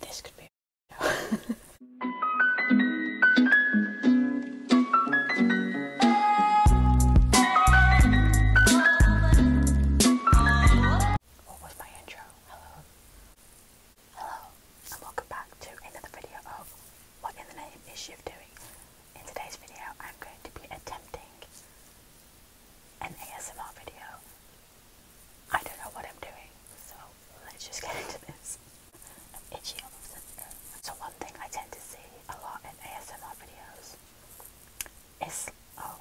this could be What was my intro? Hello. Hello and welcome back to another video of What in the Name is Shiv Doing? In today's video, I'm going to be attempting an ASMR video. I don't know what I'm doing, so let's just get into this. itchy all of a sudden. So one thing I tend to see a lot in ASMR videos is, oh,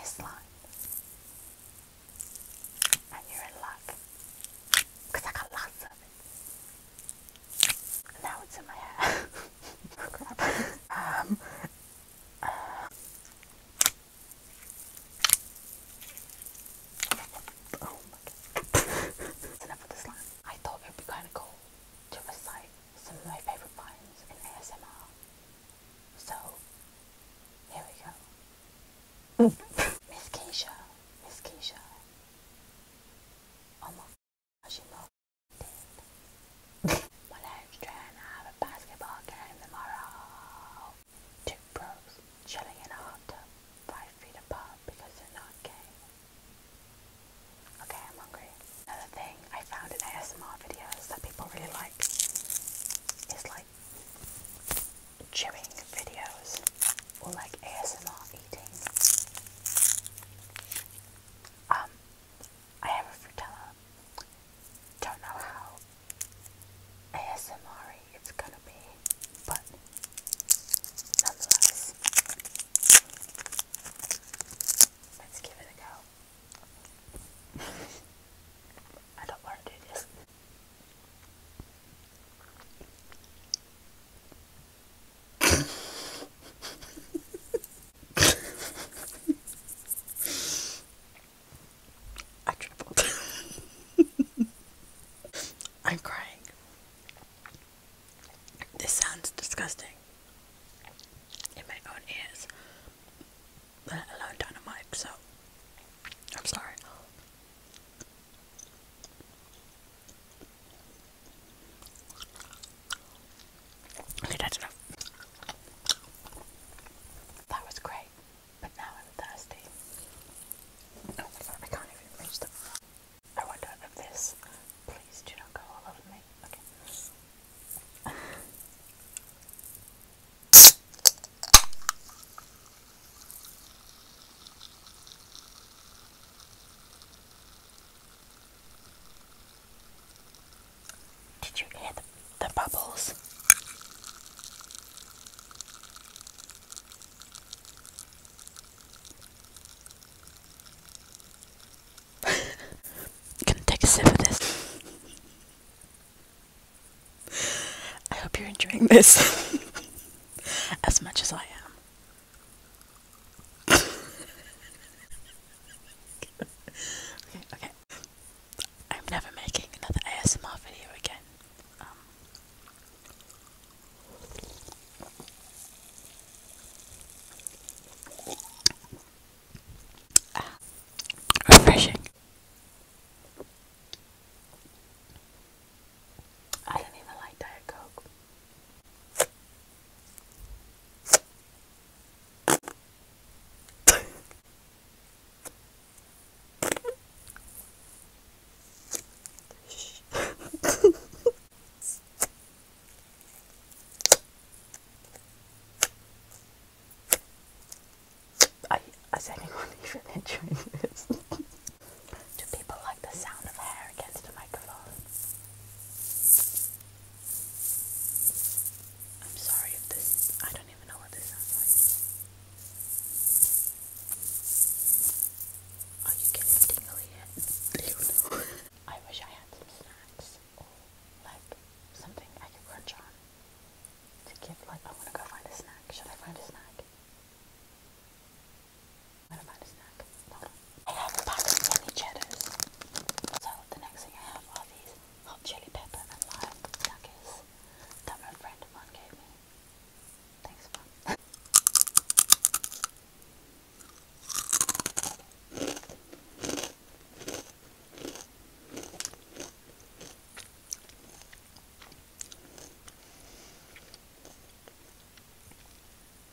is slimes. And you're in luck because I got lots of it. now it's in my hair. um, uh, oh my god. enough of this line. I thought it would be kind of cool to recite some of my favourite lines in ASMR. So, here we go. Miss Keisha, Miss Keisha, almost she looked I was have a basketball game tomorrow. Two pros chilling in a hot tub five feet apart because they're not gay. Okay, I'm hungry. Another thing I found in ASMR videos that people really like is like chewing videos or like ASMR eating. Um, I am a frutella. Don't know how ASMR it's gonna be, but nonetheless, let's give it a go. I don't want to do this. I tripled. I'm crying. This sounds disgusting in my own ears, let alone down a mic, so I'm sorry. Okay, that's enough. That was great, but now I'm thirsty. Oh, I can't even reach them. I wonder if this. Please do not go all over me. Okay. Did you hear the, the bubbles? gonna take a sip of this. I hope you're enjoying this as much as I am. okay, okay. I'm never making another ASMR video again. Um, ah, refreshing. I don't even like Diet Coke. I, is Do people like the sound of hair against a microphone? I'm sorry if this, I don't even know what this sounds like. Are you getting tingly yet? I wish I had some snacks or like something I could crunch on to give like, I want to go find a snack. Should I find a snack? What about a snack? I have a pack of mini cheddars. So the next thing I have are these hot chili pepper and lime nuggets that my friend of gave me. Thanks, Mum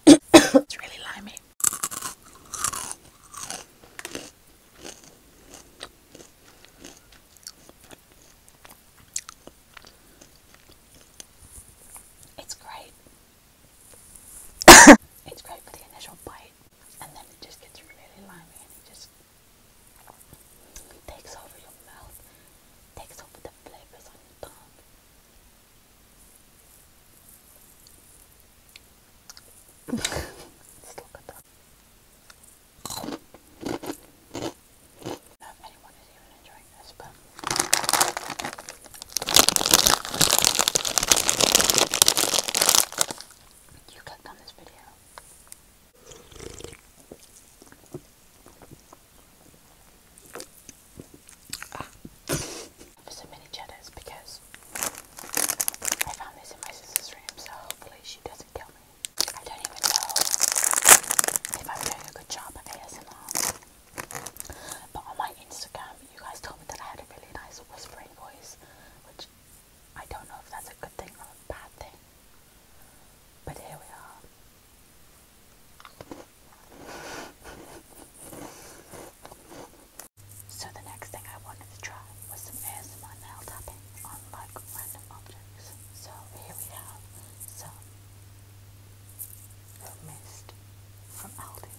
it's really limey. It's great. it's great for the initial bite, and then it just gets really limey and it just takes over your mouth, takes over the flavors on your tongue. Still got anyone is even enjoying this, but you clicked on this video. For some mini cheddars because I found this in my sister's room, so hopefully she doesn't kill me. I don't even know if I'm doing a good job at ASMR. But on my Instagram, you guys told me that I had a really nice whispering voice, which I don't know if that's a good thing or a bad thing. But here we are. So the next thing I wanted to try was some ASMR nail tapping on like random objects. So here we have some little from Aldi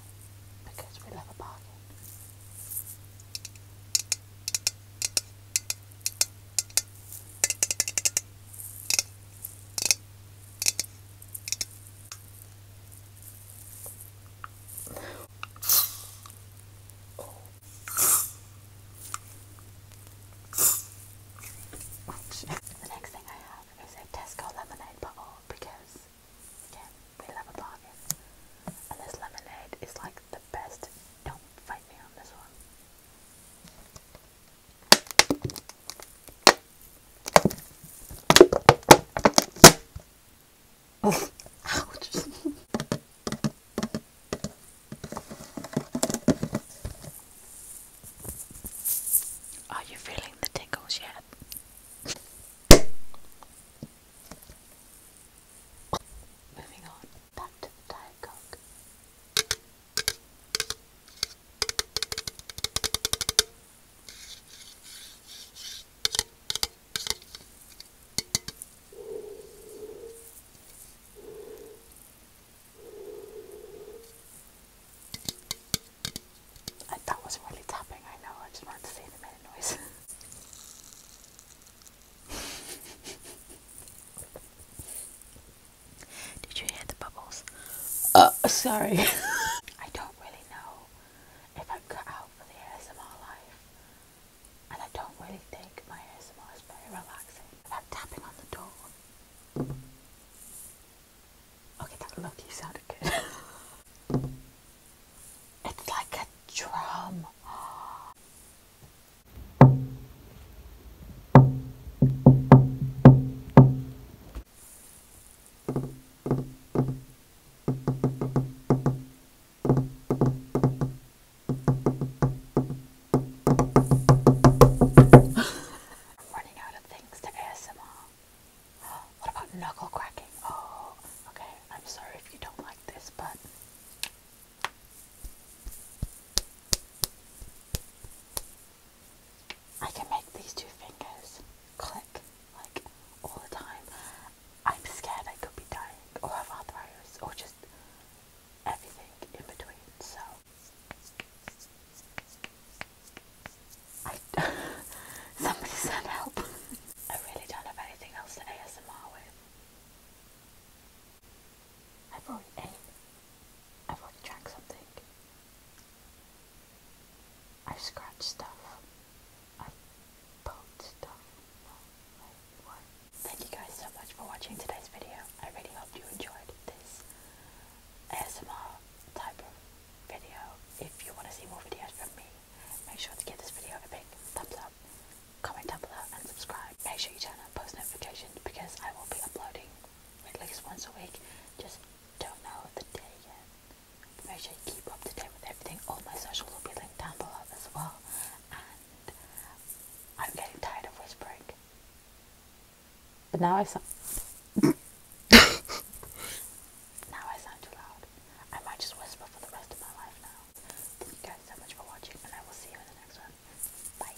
because we love a bargain. The next thing I have is a Tesco lemonade bottle because, again, we love a bargain. And this lemonade is like the best. Don't fight me on this one. Ouch. Are you feeling the tickles yet? Moving on back to the Diet that was really tapping, I know, I just wanted to see if noise. Did you hear the bubbles? Uh, sorry. I don't really if i cut out the ASMR life. And I don't really think my ASMR is very relaxing. I'm tapping on the door. Okay, that lucky sounded good. it's like a drum. Running out of things to ASMR. What about knuckle cracking? Oh, okay. I'm sorry if you don't like this, but. I can make these two fingers click like all the time. I'm scared I could be dying or have arthritis or just everything in between. So I somebody send help. I really don't have anything else to ASMR with. I've already ate. I've already drank something. I scratch stuff. I poke stuff. Thank you guys so much for watching today's video. I really hope you enjoyed this ASMR type of video. If you want to see more videos from me, make sure to give this video a big thumbs up, comment down below and subscribe. Make sure you turn on post notifications because I will be uploading at least once a week. Just don't know the day yet make sure you keep up to date with everything. All my socials will be linked down below as well. And I'm getting tired of whispering. But now I sound now I sound too loud. I might just whisper for the rest of my life now. Thank you guys so much for watching and I will see you in the next one. Bye.